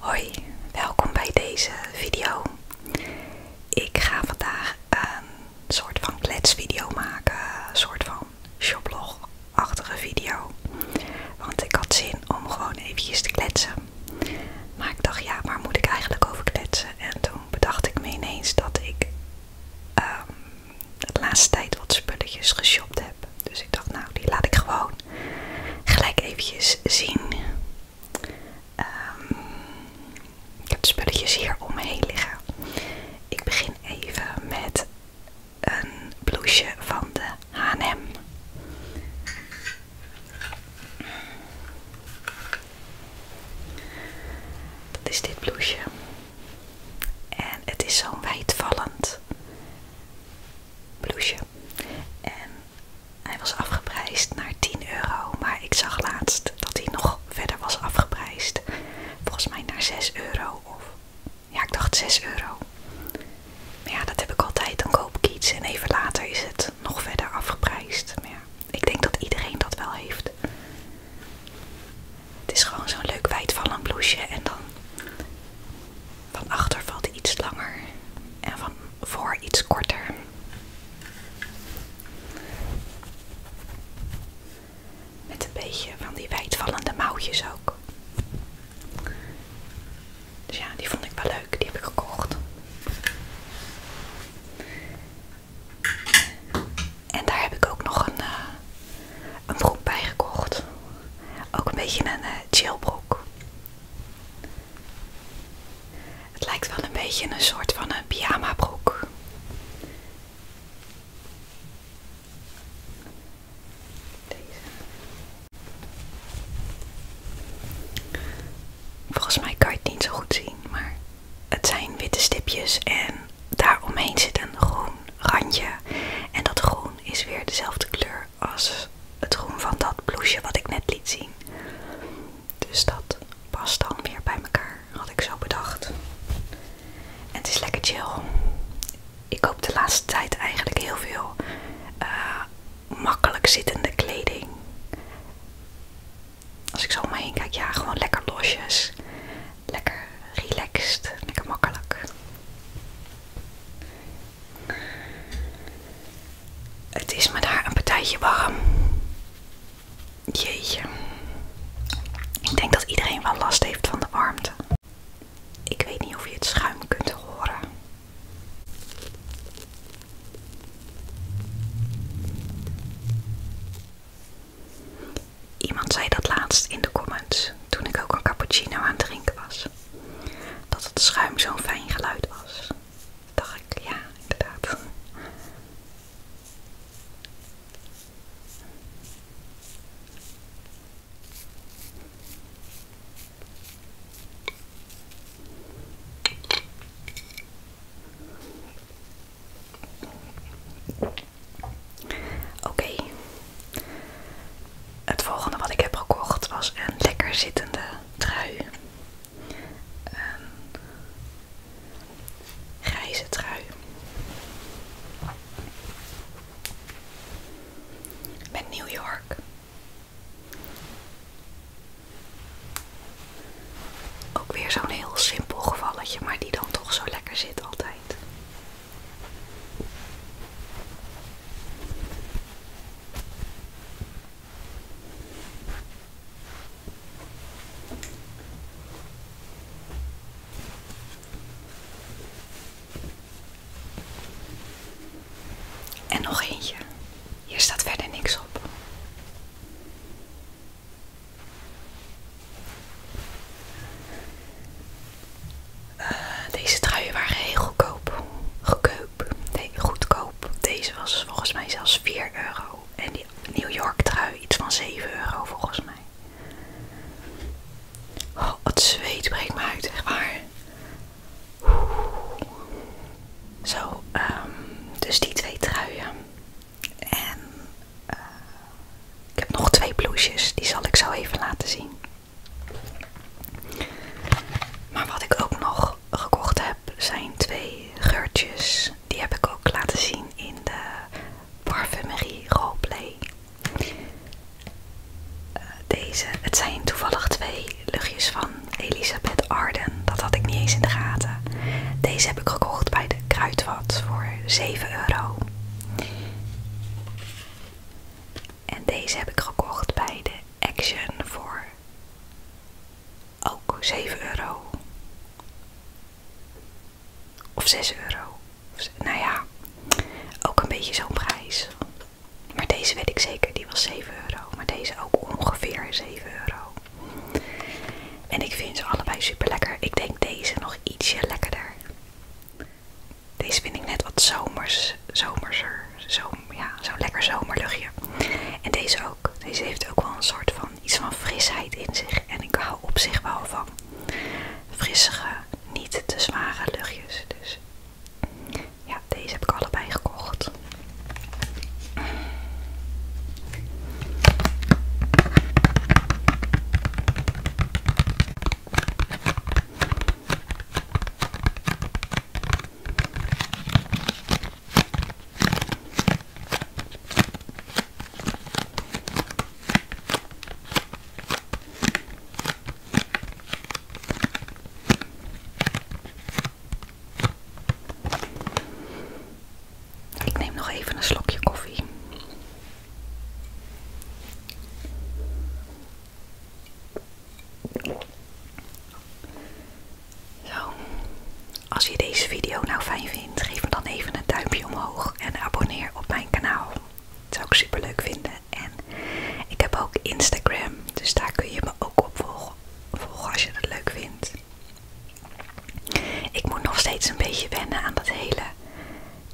Hoi, welkom bij deze video. Ik ga vandaag een soort van kletsvideo maken, een soort van shoplog achtige video. Want ik had zin om gewoon eventjes te kletsen. Maar ik dacht, ja, waar moet ik eigenlijk over kletsen? En toen bedacht ik me ineens dat ik ehm, de laatste tijd wat spulletjes geshopt heb. Dus ik dacht, nou, die laat ik gewoon gelijk eventjes zien. Ehm, ik heb de spulletjes hier om me heen liggen. Ik begin even met een blouseje van de H&M. Dat is dit blouseje. En het is zo'n wijdvallend blouseje. En hij was afgeprijsd naar 10 euro, maar ik zag laatst dat hij nog verder was afgeprijsd. Volgens mij naar 6 euro of ja, ik dacht 6 euro. Maar ja, dat heb ik altijd. Dan koop ik iets en even later is het nog verder afgeprijsd. Maar ja, ik denk dat iedereen dat wel heeft. Het is gewoon zo'n leuk wijdvallend blouseje en dan van achter valt iets langer en van voor iets korter. Met een beetje van die wijdvallende mouwtjes ook. Dus ja, die vond ik wel leuk. Die heb ik gekocht. En daar heb ik ook nog een, eh, broek bij gekocht. Ook een beetje een eh, chillbroek. Het lijkt wel een beetje een soort van een pyjama broek. Deze. Volgens mij kan je het niet zo goed zien, maar het zijn witte stipjes en daaromheen zit een groen randje. En dat groen is weer dezelfde kleur als het groen van dat blouseje wat ik net liet zien. Dus dat past dan weer bij elkaar, had ik zo bedacht. En het is lekker chill ik koop de laatste tijd eigenlijk heel veel eh, makkelijk zittende kleding. Als ik zo om me heen kijk, ja, gewoon lekker losjes. Lekker relaxed, lekker makkelijk. Het is me daar een partijtje warm. Jeetje. Ik denk dat iedereen wel last heeft van de warmte. Ik weet niet of je het schuim kunt horen. Iemand zei dat laatst in de comments toen ik ook een cappuccino aan het drinken was. Dat het schuim zo'n fijn geluid was. Dacht ik, ja, inderdaad. Oké, het volgende wat ik heb gekocht was een lekker zittende trui. Een grijze trui met New York. Ook weer zo'n heel simpel gevalletje, maar die dan toch zo lekker zit altijd. En nog eentje. Hier staat verder niks op. Eh, deze truien waren heel goedkoop. Goedkoop. Nee, goedkoop. Deze was volgens mij zelfs 4 euro. En die New York trui iets van 7 euro volgens mij. Oh, het zweet breekt me uit, echt waar. Zo, ehm, dus die twee truien. En eh, ik heb nog twee blouses, die zal ik zo even laten zien. Maar wat ik ook nog gekocht heb, zijn twee geurtjes. Die heb ik ook laten zien in de parfumerie roleplay deze, het zijn toevallig twee luchtjes van Elisabeth Arden. Dat had ik niet eens in de gaten. Deze heb ik gekocht bij de Kruidvat voor 7 euro. En deze heb ik gekocht bij de Action voor ook 7 euro. Of 6 euro. Nou ja, ook een beetje zo'n prijs. Maar deze weet ik zeker, die was 7 euro. Maar deze ook ongeveer 7 euro. En ik vind ze allebei super lekker. Ik denk deze nog ietsje lekkerder. Deze vind ik net wat zomers, zomerser, zomer, ja, zo'n lekker zomerluchtje. En deze ook. Deze heeft ook wel een soort van iets van frisheid in zich. En ik hou op zich wel van frissige niet te zware luchtjes. Dus ja, deze heb ik allebei gekocht. Ik neem nog even een slokje koffie. Zo, als je deze video nou fijn vindt, geef me dan even een duimpje omhoog en abonneer op mijn kanaal. Dat zou ik super leuk vinden. En ik heb ook Instagram, dus daar kun je me ook op volgen, als je dat leuk vindt. Ik moet nog steeds een beetje wennen aan dat hele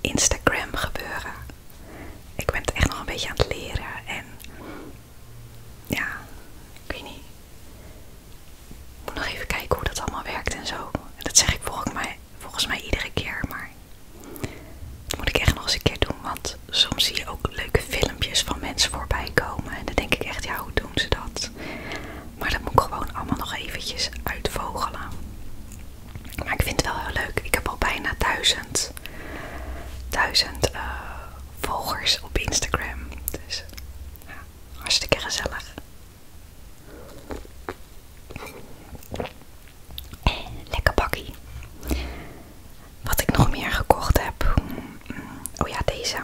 Instagram gebeuren. Ik ben het echt nog een beetje aan het leren en ja, ik weet niet. Ik moet nog even kijken hoe dat allemaal werkt en zo. En dat zeg ik volgens mij Volgens mij iedere keer, maar dat moet ik echt nog eens een keer doen. Want soms zie je ook leuke filmpjes van mensen voorbij komen. En dan denk ik echt, ja, hoe doen ze dat? Maar dat moet ik gewoon allemaal nog eventjes uitvogelen. Maar ik vind het wel heel leuk. Ik heb al bijna duizend, duizend eh, volgers op Instagram. Dus hartstikke gezellig. Lekker bakkie. Wat ik nog meer gekocht heb. Hmm, oh ja, deze.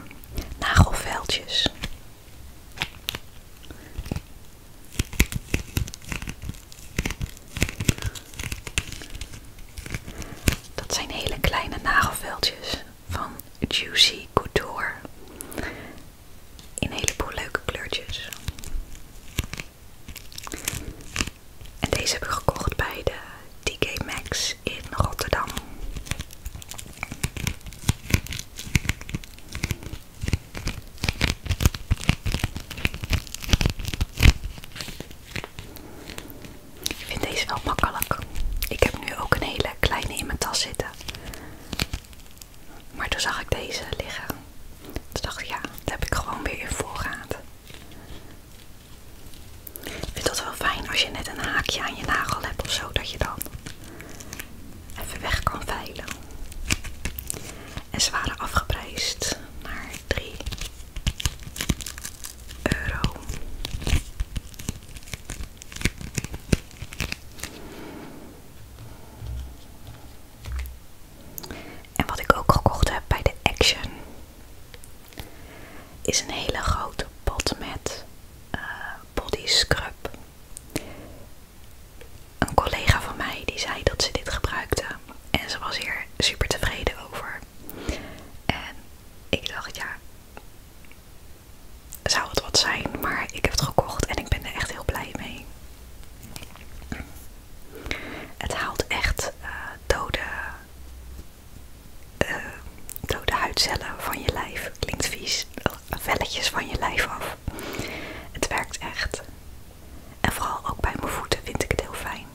Nagelveldjes. Dat zijn hele kleine nagelveldjes van Juicy Couture. In een heleboel leuke kleurtjes. En deze heb ik gekocht bij de DK Max in Rotterdam. Ik vind deze wel makkelijk. Ik heb nu ook een hele kleine in mijn tas zitten. Maar toen zag ik deze liggen. Toen dacht ik, ja, dat heb ik gewoon weer in voorraad. Ik vind dat wel fijn als je net een haakje aan je nagel hebt of zo, dat je dan even weg kan veilen. En ze waren afgeprijsd naar 3 euro. En wat ik ook gekocht heb bij de Action is een hele grote pot met eh, body scrub. Een collega van mij die zei dat ze dit gebruikte en ze was hier super tevreden over. En ik dacht ja, zou het wat zijn, maar ik heb het gekocht en ik ben er echt heel blij mee. Het haalt echt eh, dode, eh, dode huidcellen van je lijf. Klinkt vies. Velletjes van je lijf af. Het werkt echt. En vooral ook bij mijn voeten vind ik het heel fijn.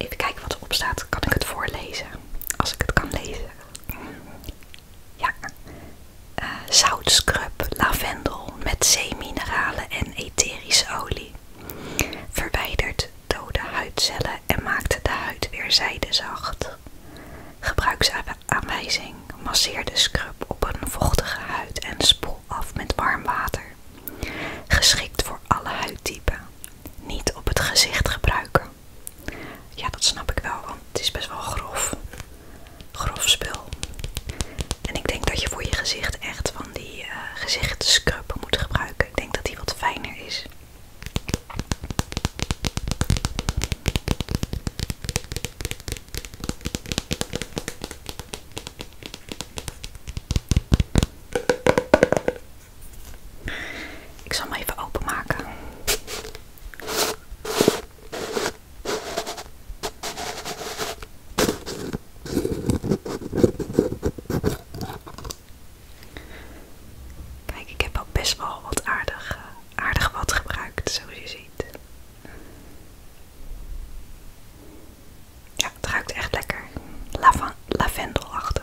Even kijken wat erop staat. Kan ik het voorlezen? Als ik het kan lezen. Ja. Uh, eh, zoutscrub, lavendel met zeemineralen en etherische olie. Verwijdert dode huidcellen en maakt de huid weer zijdezacht. Gebruiksaanwijzing: masseer de scrub op een vochtige huid en spoel af met warm water. Geschikt voor alle huidtypen. Niet op het gezicht gebruiken. Ja, dat snap ik wel, want het is best wel grof. Grof spul. En ik denk dat je voor je gezicht echt van die eh, gezichtscrub moet gebruiken. Ik denk dat die wat fijner is. Ik zal hem even openmaken. Kijk, ik heb al best wel wat aardig, eh, aardig wat gebruikt, zoals je ziet. Ja, het ruikt echt lekker. lavendelachtig.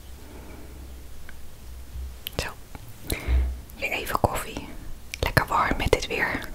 Zo, even koffie. Lekker warm met dit weer.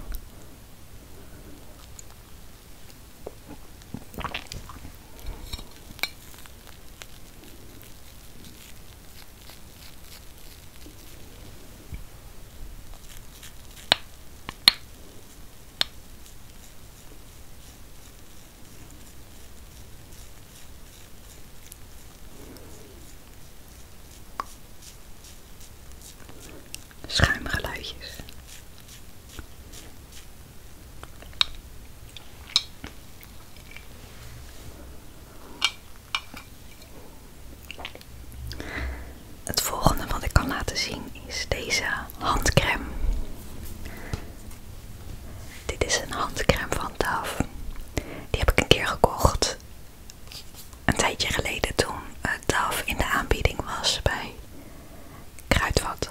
Schuimgeluidjes. Het volgende wat ik kan laten zien is deze handcrème. Dit is een handcrème van Daf. Die heb ik een keer gekocht. Een tijdje geleden toen eh, Daf in de aanbieding was bij Kruidvat.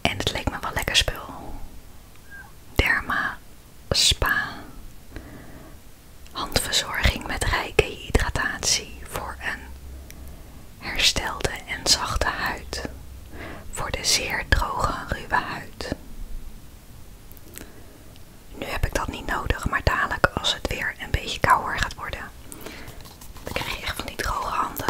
En het leek me wel lekker spul. Derma Spa. Handverzorging met rijke hydratatie voor een herstelde en zachte huid voor de zeer droge ruwe huid. Nu heb ik dat niet nodig, maar dadelijk als het weer een beetje kouder gaat worden, dan krijg je echt van die droge handen.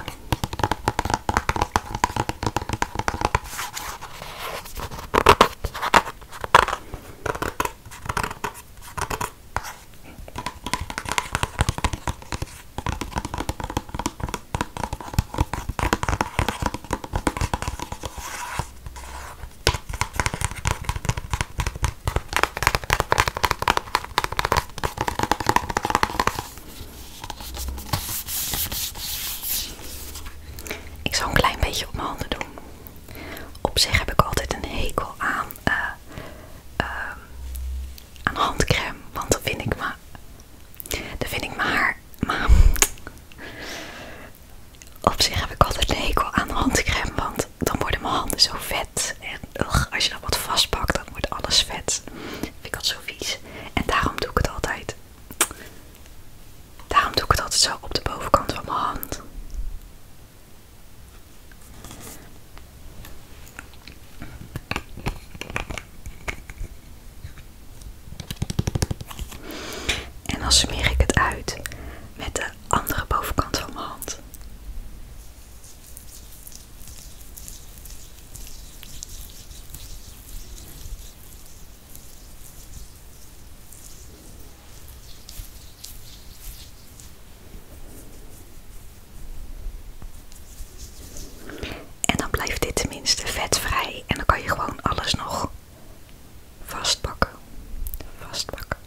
Ik zal een klein beetje op mijn handen doen. Op zich heb ik altijd een hekel aan eh, ehm, aan handcrème, want dan vind ik me, dan vind ik me haar, maar op zich heb ik altijd een hekel aan handcrème, want dan worden mijn handen zo vet en ugh, als je dan wat vastpakt, dan wordt alles vet. Vind ik dat zo vies en daarom doe ik het altijd. Daarom doe ik het altijd zo op de bovenkant van mijn hand. En dan smeer ik het uit met de andere bovenkant van mijn hand. En dan blijft dit tenminste vetvrij en dan kan je gewoon alles nog vastpakken. Vastpakken.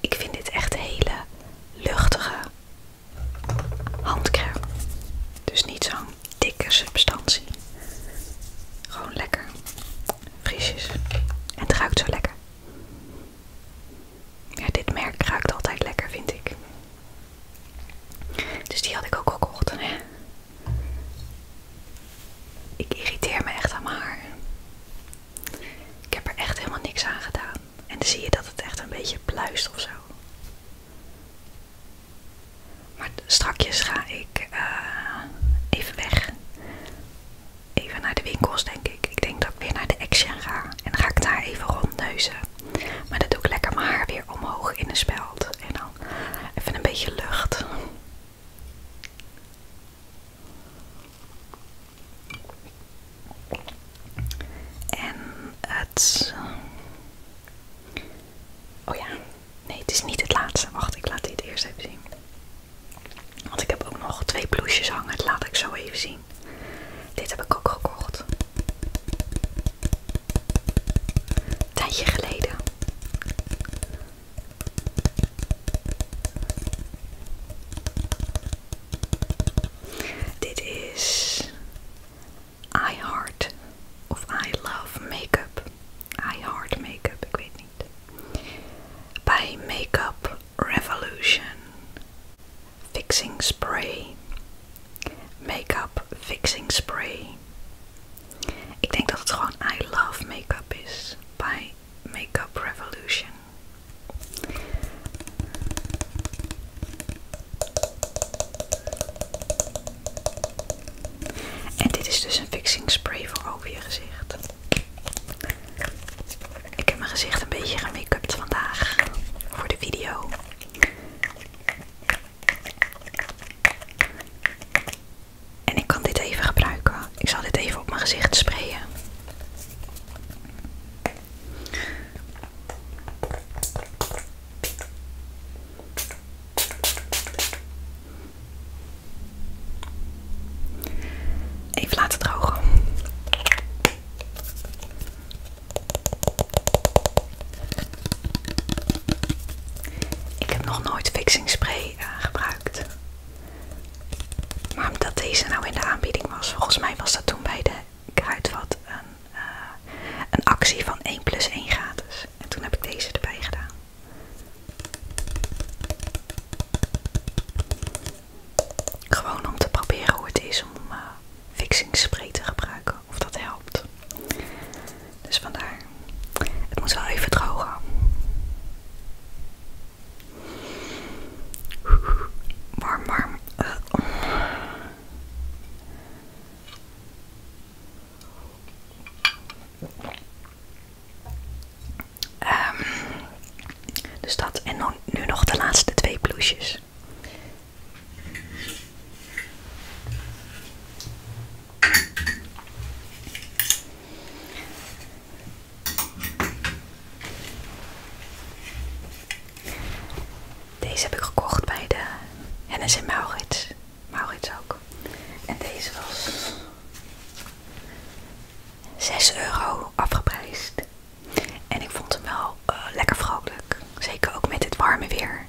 Ik vind dit echt een hele luchtige handcrème. Dus niet zo'n dikke substantie. Gewoon lekker. Frisjes. En het ruikt zo lekker. Ja, dit merk ruikt altijd lekker, vind ik. Dus die had ik ook gekocht. Ik irriteer me echt aan mijn haar. Ik heb er echt helemaal niks aan gedaan. En dan zie je dat het echt een beetje pluist of zo. Maar strakjes ga ik eh, even weg. Even naar de winkels, denk ik. Ik denk dat ik weer naar de Action ga. En dan ga ik daar even rondneuzen. Maar dan doe ik lekker mijn haar weer omhoog in een speld. En dan even een beetje lucht. En het. Oh ja, Nee, het is niet het laatste. Wacht, ik laat dit eerst even zien. Want ik heb ook nog twee blouses hangen. Dat laat ik zo even zien. Dit heb ik ook gekocht. Een tijdje geleden. Dit is I Heart of I Love Makeup. I Heart Makeup, ik weet niet. Bij Makeup Revolution. Fixing Spray. Makeup Fixing Spray. Ik denk dat het gewoon I Love Makeup is. Bij Makeup Revolution. En dit is dus een fixing spray voor over je gezicht. Ik heb mijn gezicht een beetje gemake vandaag voor de video. En ik kan dit even gebruiken. Ik zal dit even op mijn gezicht sprayen. Even laten drogen. Ik heb nog nooit fixingspray eh, gebruikt. Maar omdat deze nou in de aanbieding was, volgens mij was dat toen bij de kruidvat een, eh, een actie van 1 plus 1 gratis. En toen heb ik deze erbij gedaan. Gewoon om te proberen hoe het is om uh, eh, fixingsspray te gebruiken. Of dat helpt. Dus vandaar. Het moet wel even drogen. Warm, warm. Eh. Ehm, dus dat. En nu nog de laatste twee blouses. Deze heb ik gekocht bij de Hennis Maurits. Maurits ook. En deze was 6 euro afgeprijsd. En ik vond hem wel eh, lekker vrolijk. Zeker ook met het warme weer.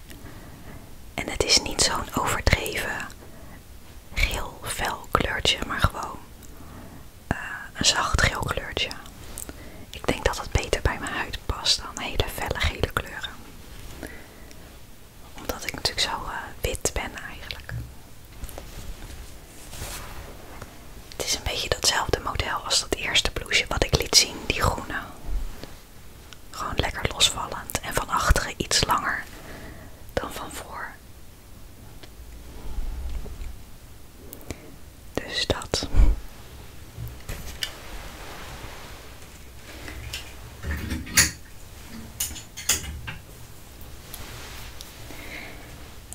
En het is niet zo'n overdreven geel fel kleurtje, maar gewoon eh, een zacht geel kleurtje. Ik denk dat het beter bij mijn huid past dan hele felle gele kleuren omdat ik natuurlijk zo eh, wit ben eigenlijk. Het is een beetje datzelfde model als dat eerste blouseje wat ik liet zien, die groene. Gewoon lekker losvallend en van achteren iets langer dan van voor. Dus dat.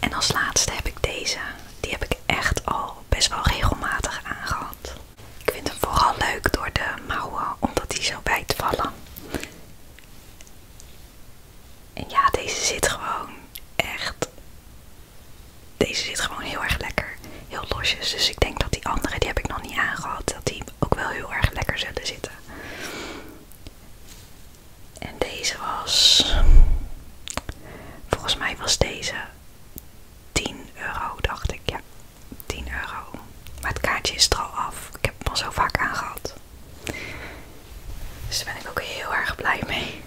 En als laatste heb ik deze. Die heb ik echt al best wel regelmatig aangehad. Ik vind hem vooral leuk door de mouwen, omdat die zo bijt vallen. En ja, deze zit gewoon echt. Deze zit gewoon heel erg lekker heel losjes. Dus ik denk dat die andere, die heb ik nog niet aangehad, dat die ook wel heel erg lekker zullen zitten. En deze was, volgens mij was deze 10 euro, dacht ik. Ja, 10 euro. Maar het kaartje is er al af. Ik heb het al zo vaak aangehad. Dus daar ben ik ook heel erg blij mee.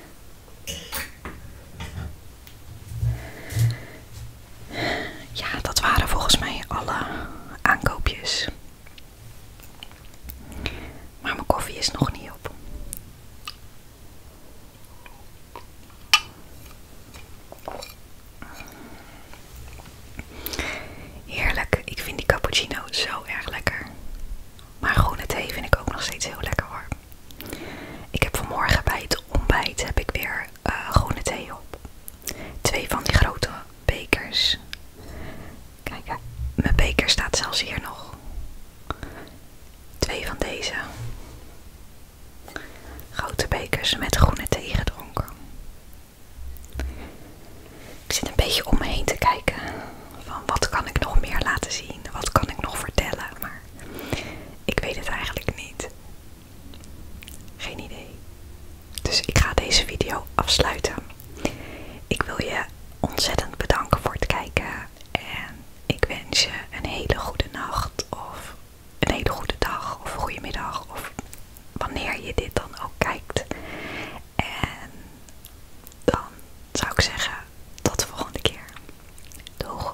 Ja, dat waren volgens mij alle aankoopjes. Maar mijn koffie is nog niet op. Heerlijk, ik vind die cappuccino zo erg lekker. Maar groene thee vind ik ook nog steeds heel lekker hoor. Ik heb vanmorgen bij het ontbijt heb ik weer eh, groene thee op. Twee van die grote bekers. Kijk, mijn beker staat zelfs hier nog. Twee van deze. Grote bekers met groene thee gedronken. Ik zit een beetje om me heen te kijken. Van wat kan ik nog meer laten zien? Wat kan ik nog vertellen? Maar ik weet het eigenlijk niet. Geen idee. Dus ik ga deze video afsluiten. Ik wil je ontzettend bedanken voor het kijken. En ik wens je een hele goede nacht. Of een hele goede dag. Of een goede middag. Of wanneer je dit dan ook kijkt. En dan zou ik zeggen, tot de volgende keer. Doeg!